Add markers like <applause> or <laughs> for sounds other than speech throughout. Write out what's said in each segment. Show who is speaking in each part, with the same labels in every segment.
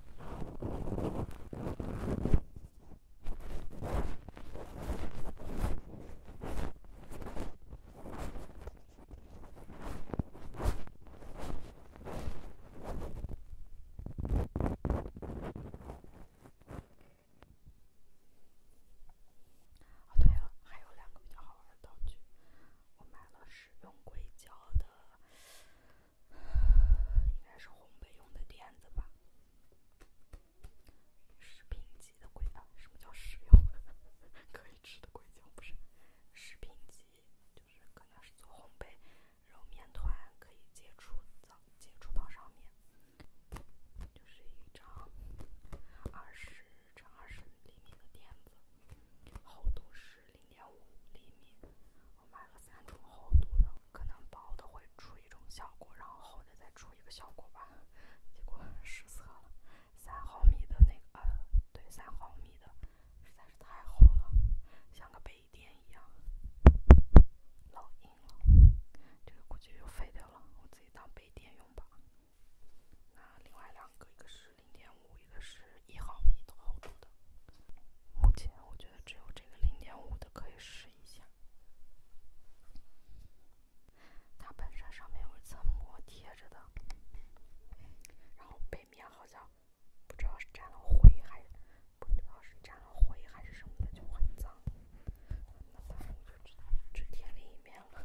Speaker 1: 哦，对了，还有两个比较好玩的道具，我买了使用硅胶的。应该是烘焙用的垫子吧，食品级的硅胶。什么叫食用？可 <laughs> 以吃的硅胶不是食品级，就是可能是做烘焙，揉面团可以接触，接触到上面，就是一张二十乘二十厘米的垫子，厚度十。零点五厘米，我买了三种厚度的，可能薄的会出一种效果，然后厚的再出一个效果吧。结果实测了，三毫米的那个，呃，对，三毫米的实在是太厚了，像个杯垫一样，老硬了。这个估计又废掉了，我自己当杯垫用吧。那另外两个，一个是零点五，一个是一毫米的厚度的。目前我觉得。觉得只有这个零点五的可以试一下，它本身上面有一层膜贴着的，然后背面好像不知道是沾了灰还不知道是沾了灰还是什么的，就很脏，那就只只贴另一面了。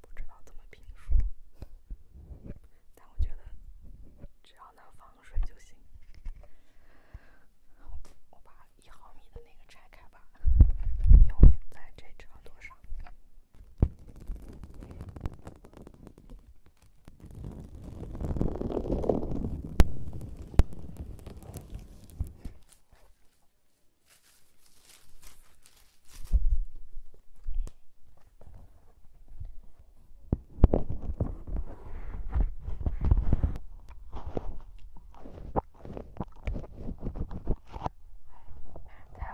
Speaker 1: 不知道怎么评说，但我觉得只要能防水就行。我把一毫米的那个拆开吧，有咱这长多少？太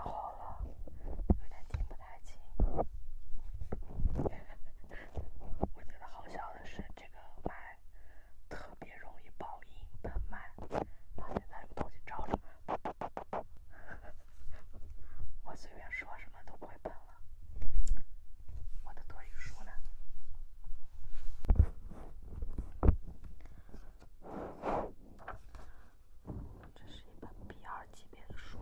Speaker 1: 好了，有点听不太清。<laughs> 我觉得好笑的是这个特别容易爆音，太麦。他现在用东西照着，我随便说什么都会背了。我的多余书呢？这是一本 B 二级别的书。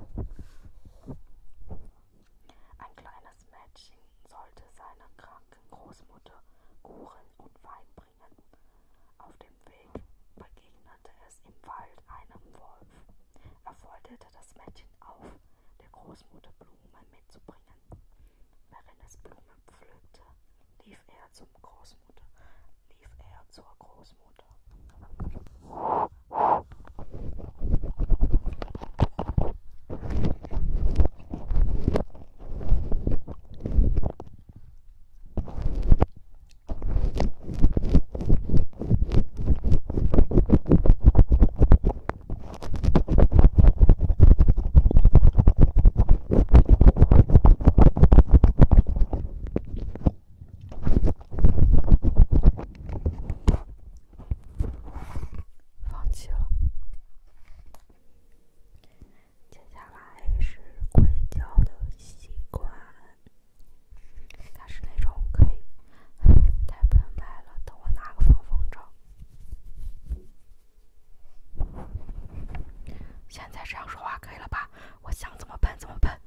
Speaker 1: bringen. Auf dem Weg begegnete es im Wald einem Wolf. Er forderte das Mädchen auf, der Großmutter Blumen mitzubringen. Während es Blumen pflückte, lief er zum Großmutter, lief er zur Großmutter. 放弃了。接下来是硅胶的吸管，它是那种可以太笨蛋了，等我拿个防风罩，现在这样说话可以了吧？我想怎么喷怎么喷。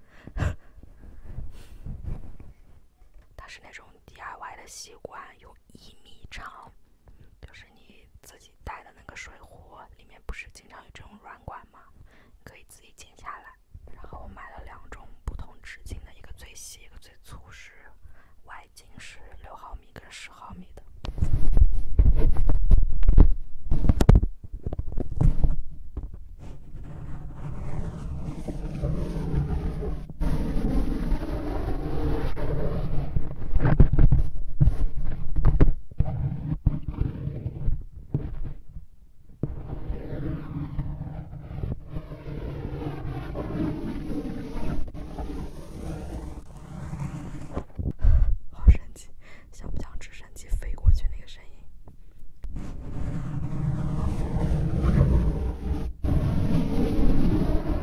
Speaker 1: 它是那种 DIY 的吸管，有一米长。就是你自己带的那个水壶，里面不是经常有这种软管吗？可以自己剪下来。然后我买了两种不同直径的，一个最细，一个最粗，是外径是六毫米跟十毫米的。好神奇，像不像直升机飞过去那个声音？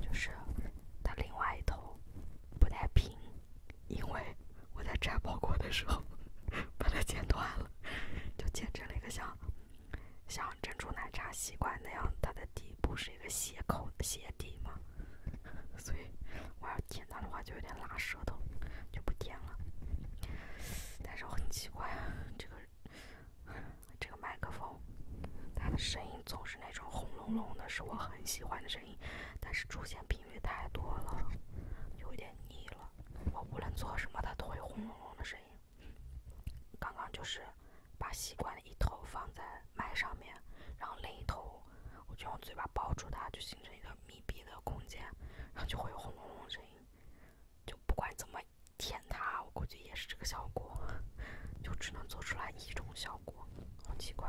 Speaker 1: 就是它另外一头不太平，因为我在拆包裹的时候 <laughs> 把它剪断了，就剪成了一个像像珍珠奶茶吸管那样，它的底部是一个斜口斜底嘛，所以我要舔它的话就有点拉舌头，就不舔了。但是很奇怪这个。这个麦克风，它的声音总是那种轰隆隆的，是我很喜欢的声音，但是出现频率太多了，有点腻了。我无论做什么，它都会轰隆隆的声音。刚刚就是把吸管的一头放在麦上面，然后另一头我就用嘴巴包住它，就形成一个密闭的空间，然后就会有轰隆隆的声音。就不管怎么。天塌，我估计也是这个效果，就只能做出来一种效果，好奇怪。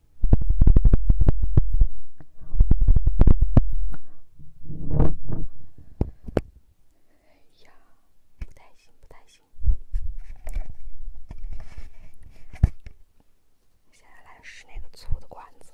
Speaker 1: 哎呀，不太行，不太行。现在来试那个粗的管子。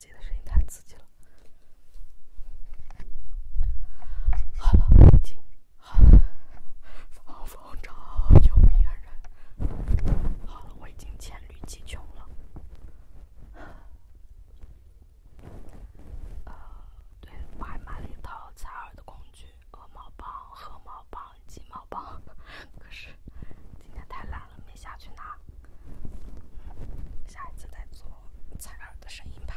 Speaker 1: 自己的声音太刺激了。好了，我已经好了。放风筝，救命恩人。好了，我已经黔驴技穷了。对，我还买了一套采耳的工具：鹅毛棒、鹤毛棒、鸡毛棒。可是今天太懒了，没下去拿。下一次再做。采耳的声音吧。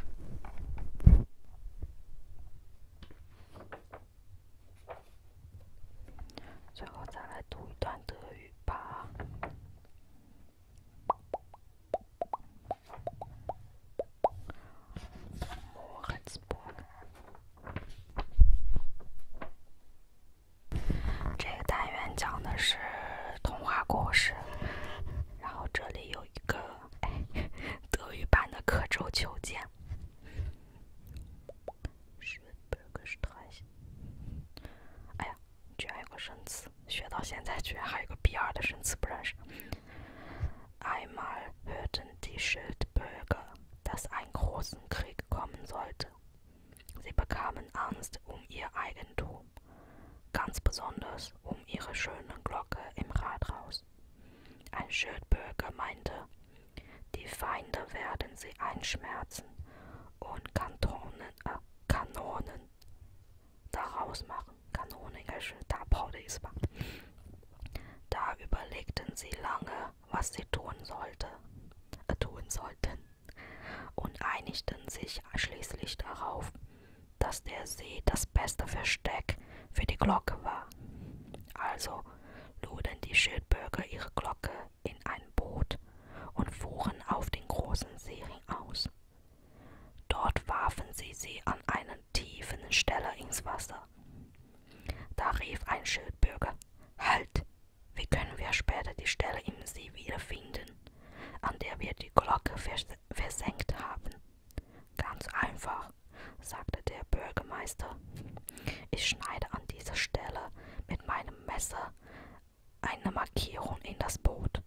Speaker 1: 最后再来读一段德语吧。这个单元讲的是童话故事。然后这里有一个哎德语版的刻舟求剑。哎呀，居然有个生词，学到现在居然还有个 <laughs> B 二的生词不认识。Einmal hörten die Schildbürger, dass ein großen Krieg kommen sollte. Sie bekamen Angst um ihr Eigentum ganz besonders um ihre schöne Glocke im Rathaus. Ein Schildbürger meinte, die Feinde werden sie einschmerzen und Kantonen, äh, Kanonen daraus machen. Kanonen, da Da überlegten sie lange, was sie tun sollte, äh, tun sollten und einigten sich schließlich darauf, dass der See das beste Versteck für die Glocke war. Also luden die Schildbürger ihre Glocke in ein Boot und fuhren auf den großen Seering aus. Dort warfen sie sie an einer tiefen Stelle ins Wasser. Da rief ein Schildbürger, Halt, wie können wir später die Stelle im See wiederfinden? an der wir die Glocke vers versenkt haben. Ganz einfach, sagte der Bürgermeister. Ich schneide an dieser Stelle mit meinem Messer eine Markierung in das Boot.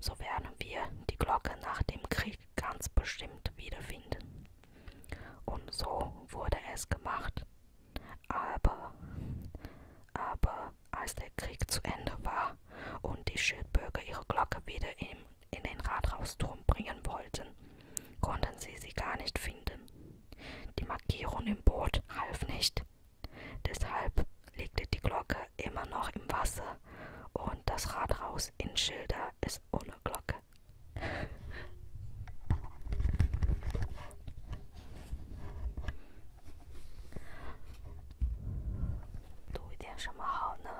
Speaker 1: So werden wir die Glocke nach dem Krieg ganz bestimmt wiederfinden. Und so wurde es gemacht. Aber, aber als der Krieg zu Ende war und die Schildbürger ihre Glocke wieder in, in den Rathausturm bringen wollten, konnten sie sie gar nicht finden. Die Markierung im Boot half nicht. Deshalb legte die Glocke immer noch im Wasser und das Rathaus in Schilder ist ohne Glocke. 读一点什么好呢？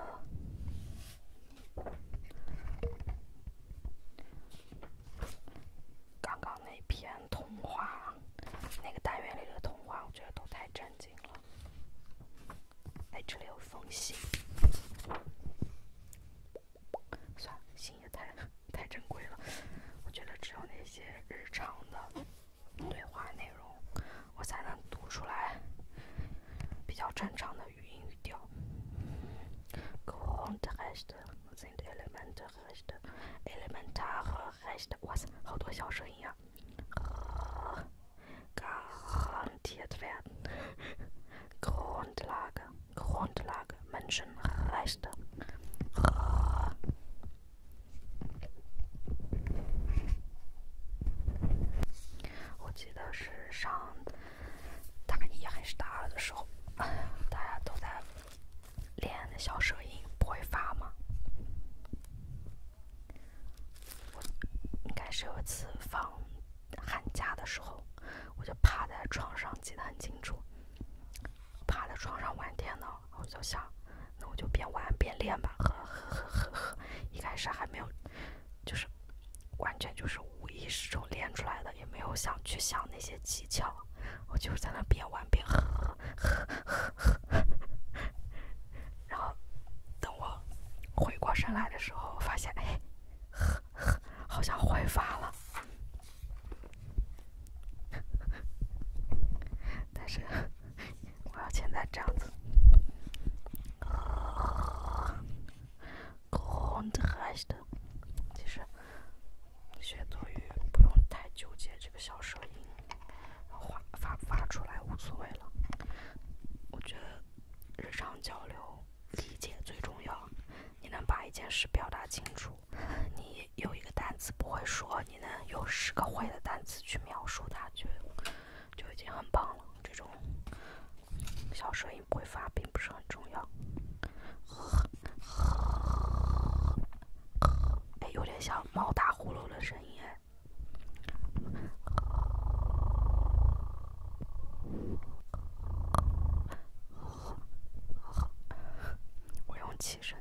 Speaker 1: 刚刚那篇童话，那个单元里的童话，我觉得都太震惊了。哎，这里有封信，算了，信也太太珍贵了，我觉得只有那些日常的。对话内容，我才能读出来比较正常的语音语调。Grundrechte sind Elementrechte, elementare Rechte, was hundert Jahre garantiert werden. Grundlage, Grundlage, Menschenrechte. 我记得是上大一还是大二的时候，大家都在练小舌音，不会发吗？应该是有一次放寒假的时候，我就趴在床上，记得很清楚，趴在床上玩电脑。我就想，那我就边玩边练吧，呵呵呵呵呵。一开始还没有，就是完全就是无意识中练出来的，也没有想去想那些技巧，我就在那边玩边呵呵呵呵呵。然后等我回过神来的时候，发现，哎，呵呵，好像会发了，但是。我要现在这样子。Good n i g 其实学多语不用太纠结这个小舌音，发发不发出来无所谓了。我觉得日常交流理解最重要。你能把一件事表达清楚，你有一个单词不会说。你能用十个会的单词去描述它，就就已经很棒了。这种小声音不会发，并不是很重要。哎，有点像猫打呼噜的声音。哎，我用气声。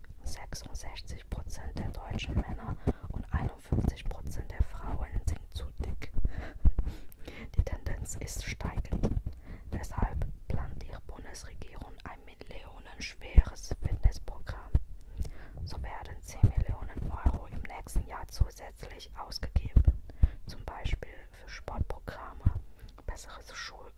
Speaker 1: 66% der deutschen Männer und 51% der Frauen sind zu dick. Die Tendenz ist steigend. Deshalb plant die Bundesregierung ein millionenschweres Fitnessprogramm. So werden 10 Millionen Euro im nächsten Jahr zusätzlich ausgegeben, zum Beispiel für Sportprogramme, besseres Schul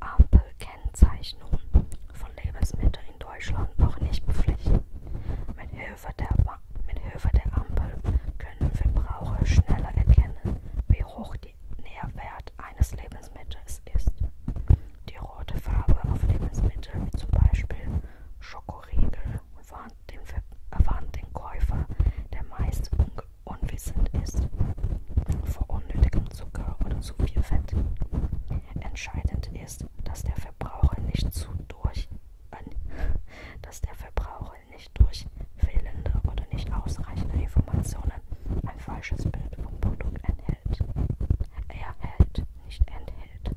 Speaker 1: Ampelkennzeichnung von Lebensmitteln in Deutschland noch nicht verpflichtend. Mit Hilfe, der, mit Hilfe der Ampel können Verbraucher schneller erkennen, wie hoch der Nährwert eines Lebensmittels ist. Die rote Farbe auf Lebensmitteln, wie zum Beispiel Schokoriegel, warnt den, warnt den Käufer der meist unwissend ist vor unnötigem Zucker oder zu viel Fett. Entscheidend ist, dass der Verbraucher nicht zu durch äh, dass der Verbraucher nicht durch fehlende oder nicht ausreichende Informationen ein falsches Bild vom Produkt enthält. Er hält, nicht enthält.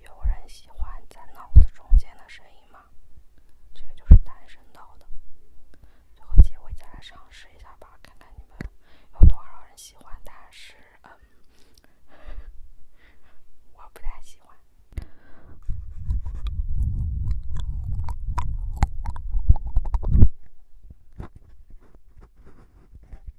Speaker 1: 有人喜欢在脑子中间的声音吗？这个就是单身岛的，最后机会再来尝试一下吧，看看你们有多少人喜欢。但是，嗯，<laughs> 我不太喜欢。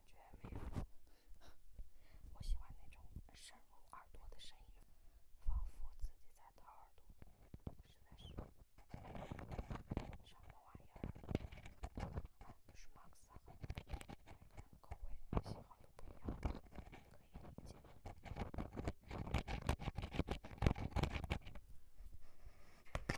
Speaker 1: 感觉没有，我喜欢那种深入耳朵的声音，仿佛自己在掏耳朵，实在是什么玩意儿，不是马克思和尼采一样口味，希望的朋友可以理解。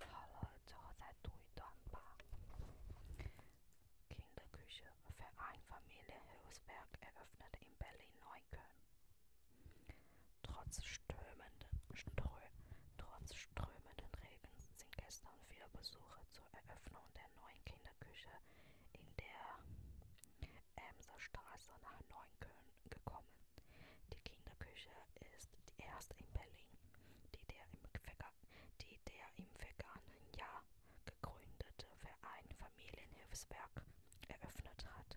Speaker 1: 好了，最后再读一段吧，Verein Familie Hilfswerk eröffnet in Berlin-Neukölln. Trotz strömenden, strö, trotz strömenden Regens sind gestern viele Besucher zur Eröffnung der neuen Kinderküche in der Emser Straße nach Neukölln gekommen. Die Kinderküche ist die erste in Berlin, die der im, Verga die der im vergangenen Jahr gegründete Verein Familienhilfswerk eröffnet hat.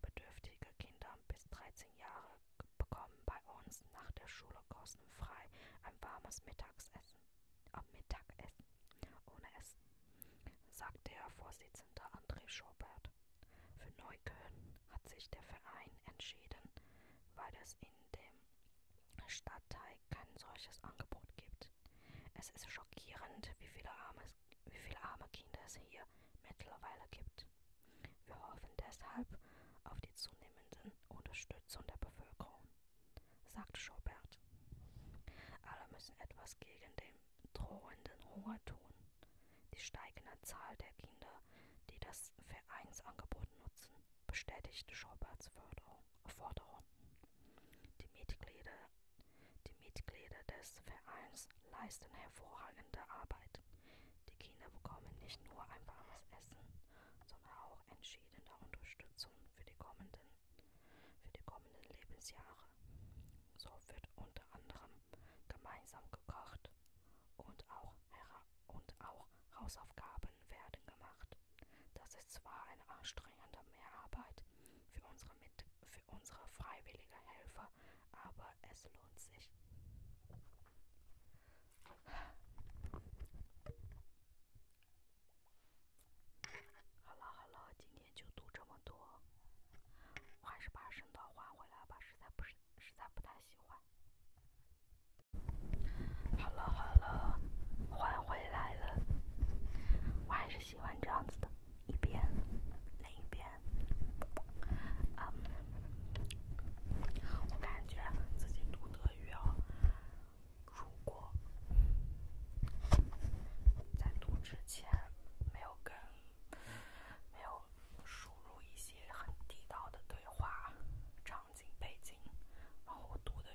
Speaker 1: Bedürftige Kinder bis 13 Jahre bekommen bei uns nach der Schule kostenfrei ein warmes Mittagsessen. Am Mittagessen, ohne Essen, sagt der Vorsitzende André Schobert. Für Neukölln hat sich der Verein entschieden, weil es in dem Stadtteil kein solches Angebot gibt. Es ist schockierend, wie viele arme, wie viele arme Kinder es hier mittlerweile gibt. Wir hoffen deshalb auf die zunehmende Unterstützung der Bevölkerung, sagt Schobert. Alle müssen etwas gegen den drohenden Hunger tun. Die steigende Zahl der Kinder, die das Vereinsangebot nutzen, bestätigt Schoberts Forderung. Die Mitglieder die Mitglieder des Vereins leisten hervorragende Arbeit. Die Kinder bekommen nicht nur ein warmes Essen, sondern auch entschiedene Unterstützung für die kommenden, für die kommenden Lebensjahre. So wird unter anderem gemeinsam gekocht und auch, und auch Hausaufgaben werden gemacht. Das ist zwar eine anstrengende Mehrarbeit, 好了好了，今天就读这么多。我还是把声刀换回来吧，实在不是实在不太喜欢。好了好了，换回来了。我还是。喜欢这样子的，一边，另一边，我感觉自己读德语啊，如果在读之前没有跟，没有输入一些很地道的对话场景背景，然后读的。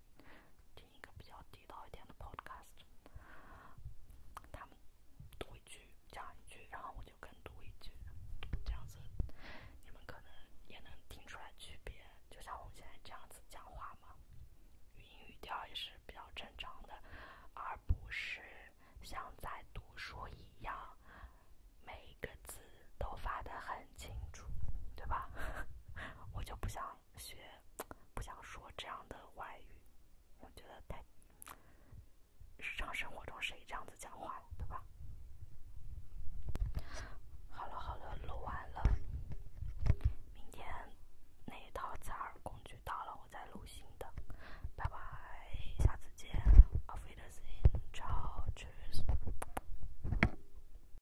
Speaker 1: 听一个比较地道一点的 podcast，他们读一句讲一句，然后我就跟读一句，这样子你们可能也能听出来区别。就像我们现在这样子讲话嘛，语音语调也是比较正常的，而不是像在读书一样，每一个字都发的很清楚，对吧？<laughs> 我就不想。学不想说这样的外语，我觉得太日常生活中谁这样子讲话对吧？好了好了，录完了。明天那一套加耳工具到了，我再录新的。拜拜，下次见。Affidavit, choose.